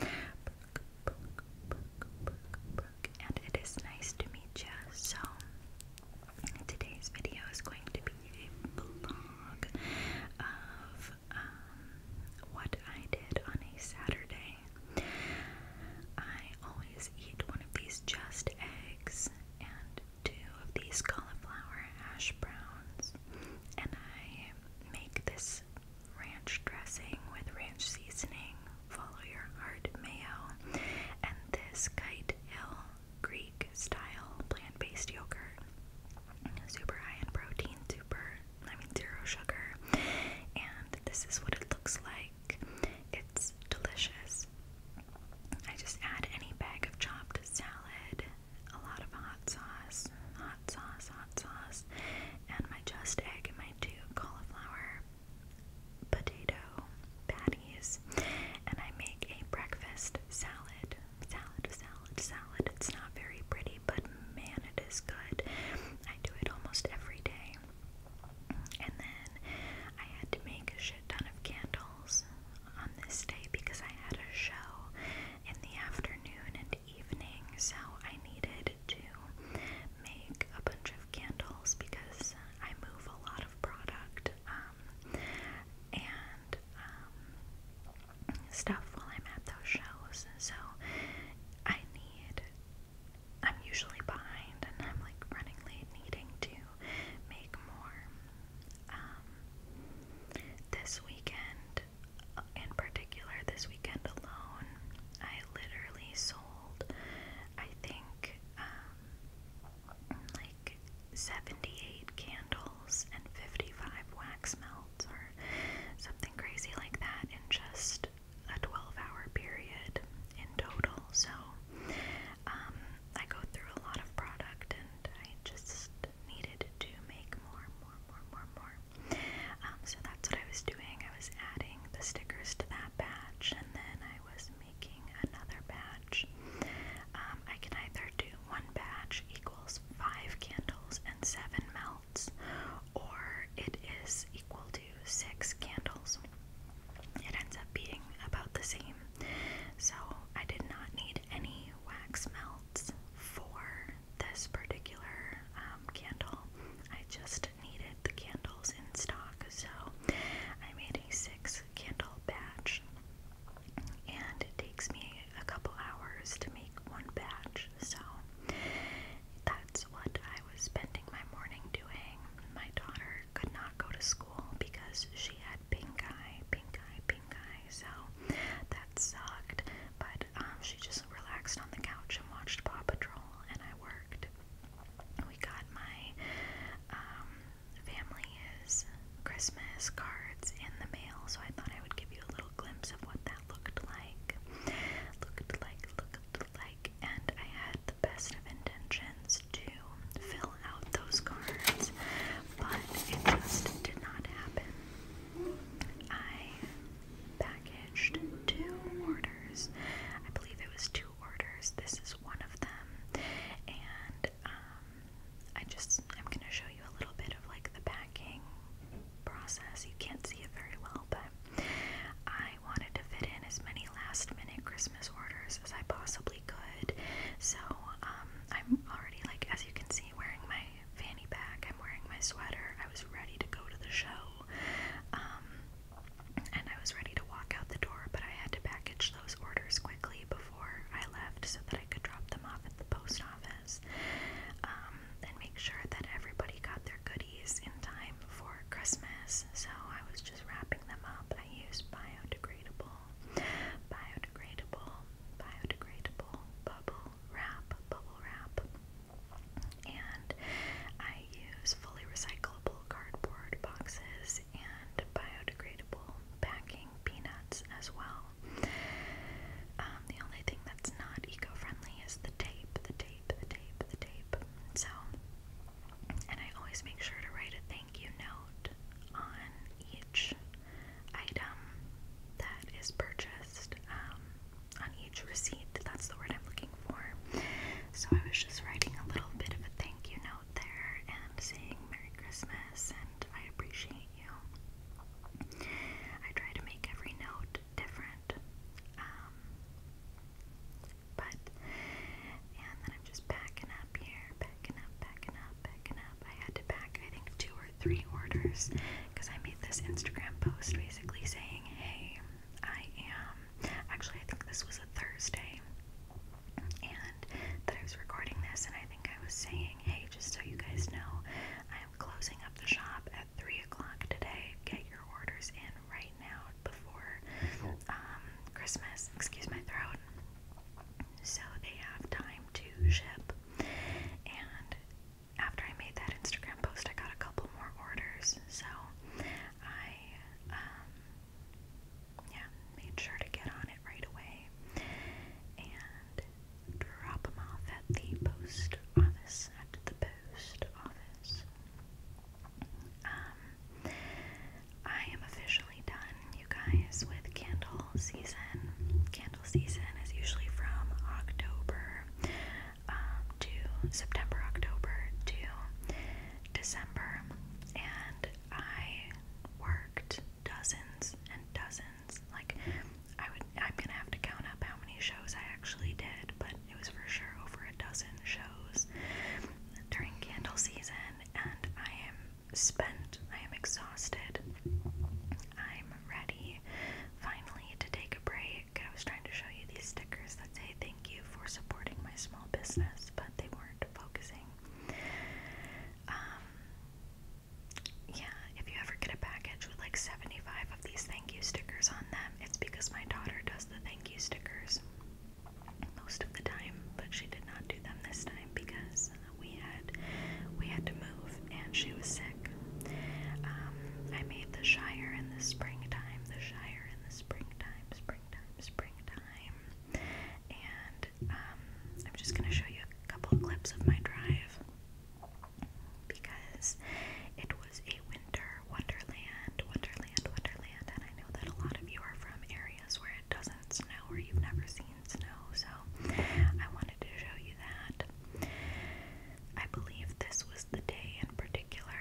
and it is nice to meet you. So, today's video is going to be a vlog of um, what I did on a Saturday. I always eat one of these just eggs and two of these cauliflower hash browns, and I make this ranch dressing with ranch seasoning, follow your heart mayo, and this Kite Hill Greek style plant based yogurt. Super high in protein, super, I mean, zero sugar. And this is what it looks like. It's delicious. I just add any bag of chopped salad a lot of hot sauce, hot sauce, hot sauce, and my just egg and my two cauliflower potato patties. And I make a breakfast salad. Salad, salad, salad. It's not very pretty, but man, it is good. I do it almost every day. And then I had to make a shit ton of candles on this day because I had a show in the afternoon and evening, so I needed to make a bunch of candles because I move a lot of product um, and um, stuff while I'm at those shows. So I need, I'm usually behind and I'm like running late, needing to make more. Um, this weekend in particular this weekend alone, I literally sold, I think, um, like 78 candles and 55 wax melts or something crazy like that in just a 12 hour period in total. So, um, I go through a lot of product and I just needed to make more, more, more, more, more. Um, so that's what I was doing. I was adding the stickers to that batch, and then I was making another batch. Um, I can either do one batch equals five candles and seven melts, or it is equal to six candles. It ends up being about the same. So I did not need any wax melt for this particular um, candle. I just needed the candles in stock, so I made a six candle batch, and it takes me a couple hours to make one batch, so that's what I was spending my morning doing. My daughter could not go to school because she had pink eye, pink eye, pink eye, so that sucked. But um, she just relaxed on the couch and watched Paw Patrol, and I worked. We got my um, family is Christmas cards in the mail, so I thought I would give you a little glimpse of what that looked like. Looked like, looked like, and I had the best of intentions to fill out those cards, but it just did not happen. I packaged two orders. I believe it was two orders. This is one of them. And um, I just I'm gonna show you a little bit of like the packing process. You can't see it very well, but I wanted to fit in as many last minute Christmas orders as I possibly could. So um I'm already like as you can see wearing my fanny pack. I'm wearing my sweater. I was ready to go to the show. Um, and I was ready to walk out the door, but I had to package those orders quickly before I left so that I could drop them off at the post office um, and make sure that everybody got their goodies in time for Christmas. So I was just wrapping them up. I used biodegradable biodegradable, biodegradable bubble wrap, bubble wrap. And I use fully recyclable cardboard boxes and biodegradable packing peanuts as well. Um, the only thing that's not eco friendly is the tape, the tape, the tape, the tape. So, and I always make sure to write a thank you note on each item that is purchased um, on each receipt. That's the word I'm looking for. So I was just writing a little bit of a thank you note there and saying Merry Christmas and I appreciate you. I try to make every note different. Um, but, and then I'm just backing up here, backing up, backing up, backing up. I had to back, I think, two or three orders because I made this Instagram post basically saying, Hey, I am actually, I think this was a Thursday, and that I was recording this, and I think I was saying, Hey, just so you guys know, I am closing up the shop at three o'clock today. Get your orders in right now before um, Christmas. Excuse my throat. So they have time to ship and after I made that Instagram post, I got a couple more orders. So I, um, yeah, made sure to get on it right away and drop them off at the post office, at the post office. Um, I am officially done you guys with candle season. Candle season is usually from October um, to September, October to December, and I worked dozens and dozens. Like I would, I'm gonna have to count up how many shows I actually did, but it was for sure over a dozen shows during candle season, and I am spent. I am exhausted. I'm ready finally to take a break. I was trying to show you these stickers that say thank you for supporting my small business, but they weren't focusing. Um, yeah, if you ever get a package with like 75 of these thank you stickers on them, it's because my daughter does the thank you stickers most of the time, but she did not do them this time because we had we had to move, and she was sick. Um, I made the Shire in the springtime, the Shire in the springtime, springtime, springtime, and um, I'm just gonna show you a couple clips of my drive because it was a winter wonderland, wonderland, wonderland, and I know that a lot of you are from areas where it doesn't snow or you've never seen Italian so I wanted to show you that. I believe this was the day in particular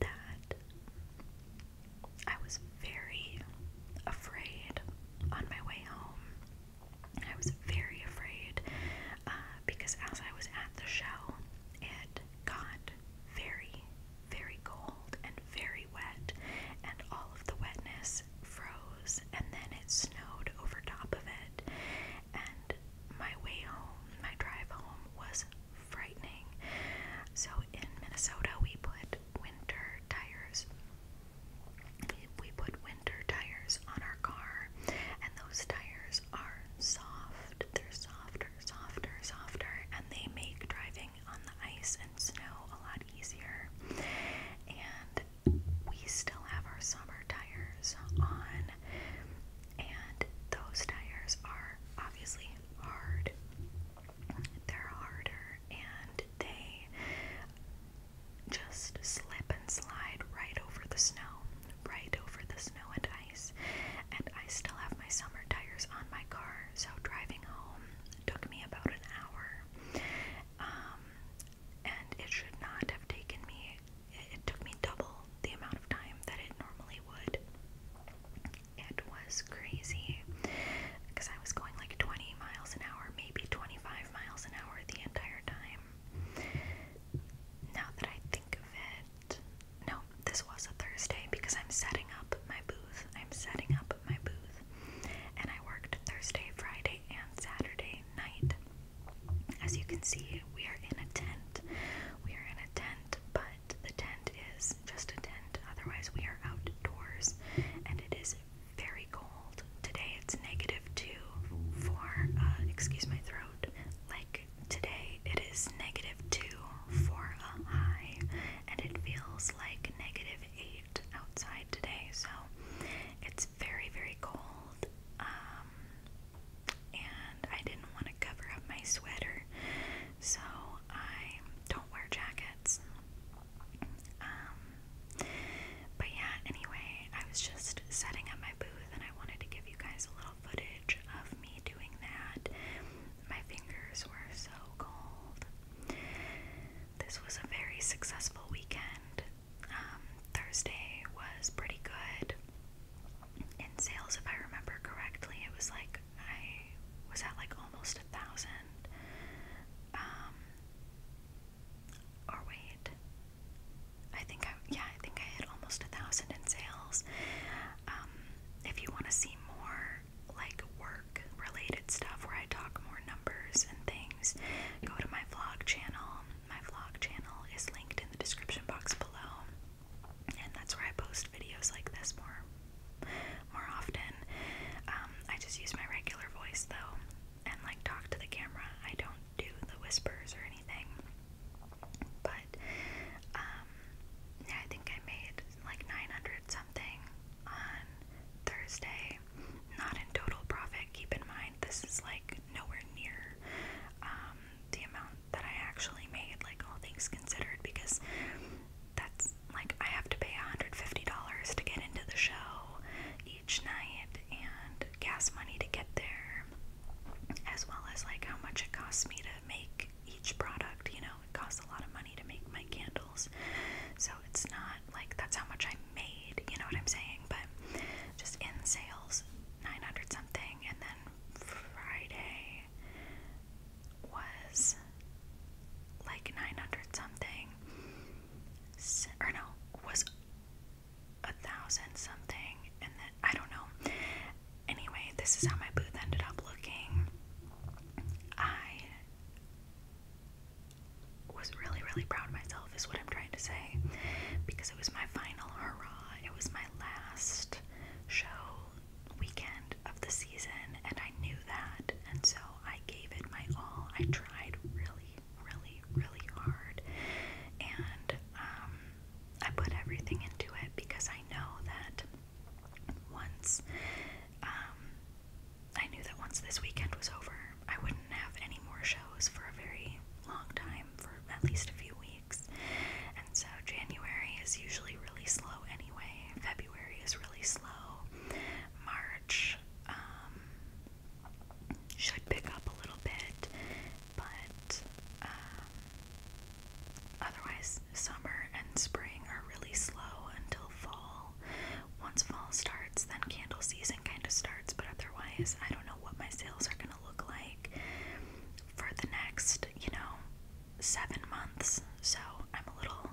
that I was very afraid on my way home. I was very afraid uh, because as I was at the show, it got very, very cold and very wet, and all of the wetness froze, and then it snowed over top of it. And my way home, my drive home, was frightening. So in Minnesota, we put winter tires. We put winter tires on our car, and those tires are soft. They're softer, softer, softer, and they make driving on the ice and snow a lot easier. And we still have our summer tires on, and those tires are obviously hard. They're harder and they just slip and slide right over the snow, right over the snow and ice. And I still have my summer tires on my car, so driving home took me about an hour. Um, and it should not have taken me, it took me double the amount of time that it normally would. It was crazy because I was going like 20 miles an hour, maybe 25 miles an hour the entire time. Now that I think of it, no, this was a Thursday because I'm setting up my booth. I'm setting up my booth, and I worked Thursday, Friday, and Saturday night. As you can see, we are in a tent. We are in a tent, but the tent is just a tent. Otherwise, we are outdoors, and it is very cold. Today it's negative two for, uh, excuse my throat. Like today, it is negative two for a high, and it feels like negative outside today, so it's very, very cold. Um, and I didn't want to cover up my sweater, so I don't wear jackets. Um, but yeah, anyway, I was just setting up my booth and I wanted to give you guys a little footage of me doing that. My fingers were so cold. This was a very successful weekend. Um, Thursday was pretty good in sales, if I remember correctly. It was like I was at like almost a thousand. Um, or wait, I think I yeah I think I hit almost a thousand in sales. Um, if you want to see more more like work related stuff where I talk more numbers and things, go to my vlog channel. My vlog channel is linked in the description box below. And that's where I post videos like this more more often. Um, I just use my regular voice though and like talk to the camera. I don't do the whispers or anything. But um yeah, I think I made like 900 something on Thursday. Not in total profit, keep in mind, this is like nowhere near um, the amount that I actually made, like all things considered, because that's like I have to pay $150 to get into the show each night and gas money to get there, as well as like how much it costs me to make each product. You know, it costs a lot of money to make my candles, so it's not like that's how much I made, you know what I'm saying? But just in sales, 900 something, and then Friday was like 900 something, or no, was a thousand something, and then I don't know. Anyway, this is how my booth ended up looking. I was really, really proud of myself, is what I'm trying to say, because it was my final hurrah. It was my last show weekend of the season, and I knew that, and so I gave it my all. I tried really, really, really hard, and um, I put everything into it because I know that once um, I knew that once this weekend was over, I wouldn't have any more shows for a very long time, for at least a few weeks. And so January is usually really slow anyway, February is really slow, March um, should pick up a little bit, but um, otherwise, summer and spring are really slow until fall. Once fall starts, then candle season kind of starts, but otherwise, I don't know what my sales are going to look like for the next, you know, seven months. So I'm a little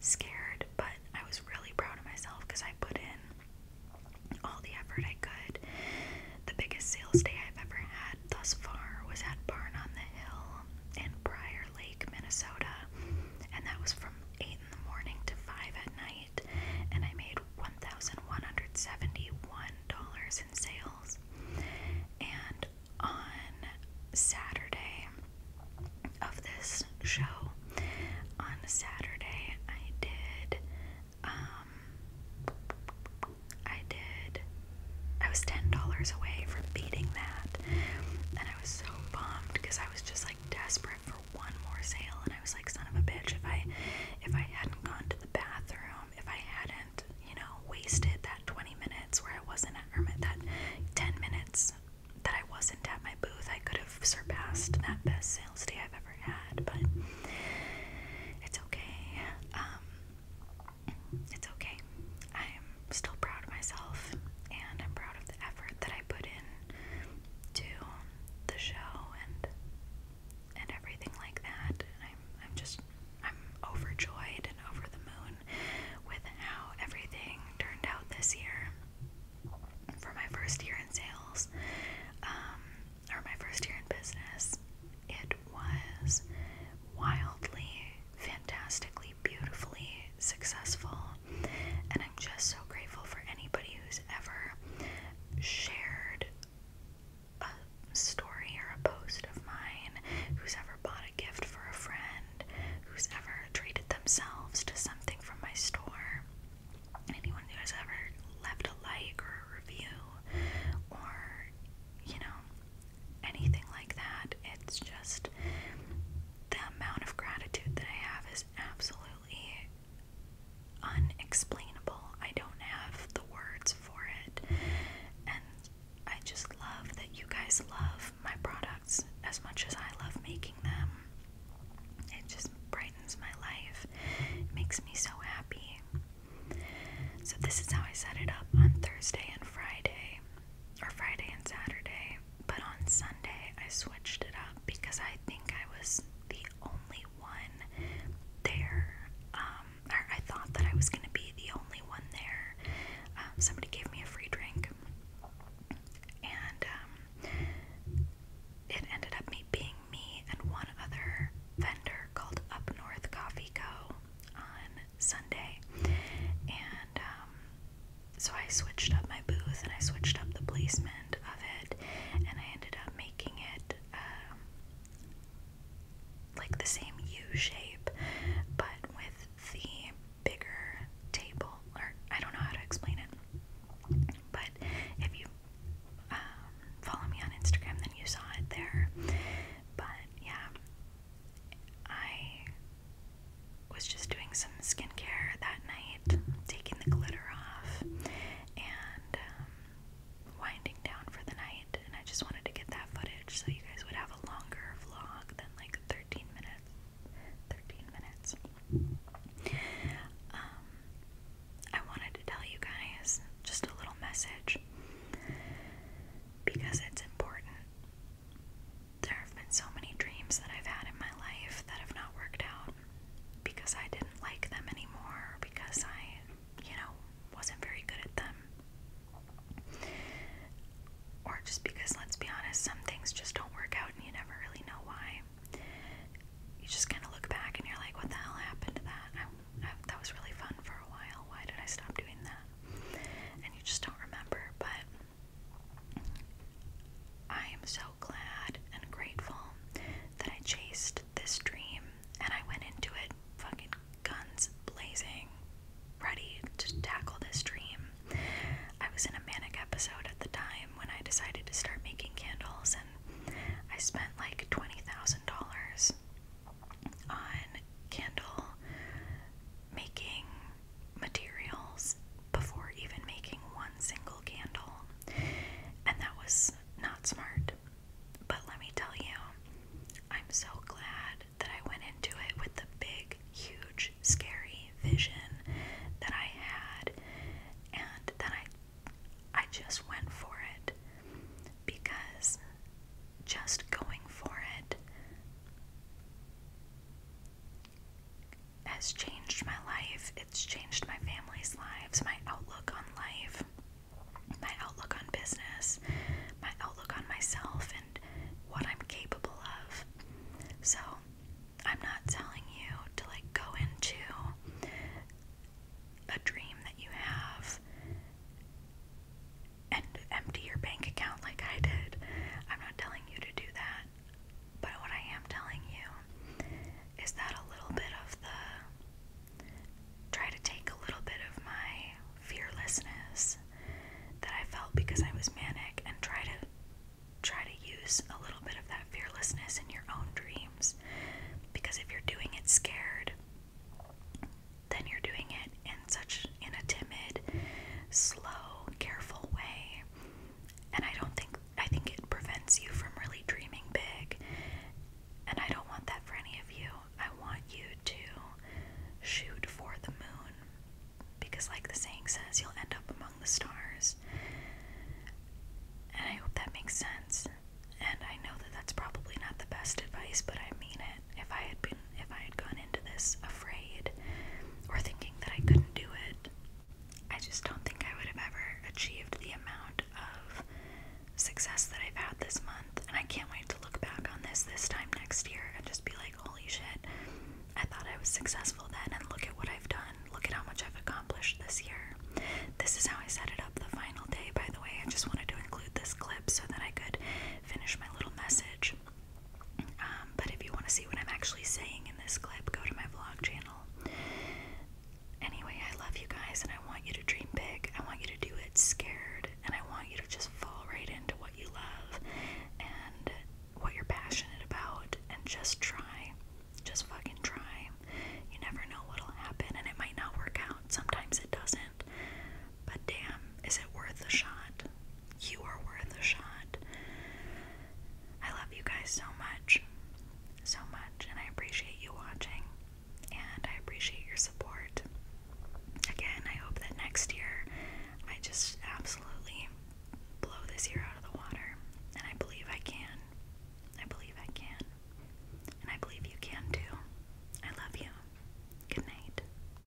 scared, but I was really proud of myself because I put in all the effort I could. The biggest sales day I've ever had thus far was at Barn on the Hill in Briar Lake, Minnesota, and that was from. 8 in the morning to 5 at night, and I made $1,171 in sales. And on Saturday of this show, on Saturday, I did, um, I did, I was $10 away from beating that and I was so bummed because I was just like desperate for one more sale and I was like son of a bitch if I if I hadn't gone to the bathroom, if I hadn't, you know, wasted that 20 minutes where I wasn't at or that 10 minutes that I wasn't at my booth, I could have surpassed that best sales day I've ever had, but it's okay. Um it's okay. I'm still proud of myself and I'm proud of the effort that I put in to the show and and everything like that. I'm I'm just I'm overjoyed and over the moon with how everything turned out this year for my first year in sales, um, or my first year in business. It was wildly fantastically, beautifully successful. And I'm just so grateful for anybody who's ever shared a story or a post of mine, who's ever bought a gift for a friend, who's ever treated themselves to something from my store, anyone who has ever left a like or a review, or you know, anything like that. It's just the amount of gratitude that I have is absolutely unexplainable. I don't have the words for it. And I just love that you guys love my products as much as I love making them. It just brightens my life, makes me so happy. So, this is how I set it up on Thursday and Friday or Friday and Saturday, but on Sunday I switched it up because I think I was the only one there. Um, or I thought that I was going to be the only one there. Um, somebody gave me a free drink, and um, it ended up me being me and one other vendor called Up North Coffee Co. on Sunday, and um, so I switched up my booth and I switched up the placement of it, and I ended up making it um, like the same U shape, but with the bigger table, or I don't know how to explain it, but if you um, follow me on Instagram, then you saw it there. But yeah, I was just doing some skincare that night, taking the glitter off, and um, winding down for the night. And I just wanted to get that footage so you guys would have a longer vlog than like 13 minutes. 13 minutes. Um, I wanted to tell you guys just a little message because it's important. There have been so many dreams that I've had in my life that have not worked out because I didn't like them anymore, or because I, you know, wasn't very good at them. Or just because, let's be honest, some things just don't work out and you never really know why. You just kind of look back and you're like, what the hell happened to that? I, I, that was really fun for a while. Why did I stop doing that? And you just don't remember. But I am so glad and grateful that I chased this dream and I went into it fucking guns blazing, ready to tackle this dream. I was in a manic episode at the time when I decided to start making candles, and I spent like $20,000 on candles making materials before even making one single candle, and that was not smart. But let me tell you, I'm so glad that I went into it with the big, huge, scary vision that I had, and that I I just went for it because just going for it has changed my life. It's changed my family's lives, my outlook on life, my outlook on business, my outlook on myself, and what I'm capable of. So, I'm not telling you to like go into a dream that you have and empty your bank account like I did. I'm not telling you to do that, but what I am telling you is that a little bit of the try to take a little bit of my fearlessness that I felt because I was manic and try to try to use a little bit of that fearlessness in your own dreams because if you're doing it scared, then you're doing it it in such in a timid, slow, careful way. And I don't think I think it prevents you from really dreaming big. And I don't want that for any of you. I want you to shoot for the moon because like the saying says, you'll end up among the stars. And I hope that makes sense. And I know that that's probably not the best advice, but I mean it. If I had been if I had gone into this afraid or thinking that I couldn't do it, I just don't think I would have ever achieved the amount of success that I've had this month. And I can't wait to look back on this this time next year and just be like, holy shit, I thought I was successful then. And look at what I've done. Look at how much I've accomplished this year. This is how I set it up the final day, by the way. I just wanted to include this clip so that I could finish my little message. Um, but if you want to see what I'm actually saying in this clip, go to my vlog channel. Anyway, I love you guys and I want you to dream big. I want you to do it scared and I want you to just fall right into what you love and what you're passionate about and just try. Just fucking try. You never know what'll happen and it might not work out. Sometimes it doesn't. But damn, is it worth a shot? you are worth a shot. I love you guys so much, so much, and I appreciate you watching and I appreciate your support. Again, I hope that next year I just absolutely blow this year out of the water, and I believe I can. I believe I can, and I believe you can too. I love you. Good night.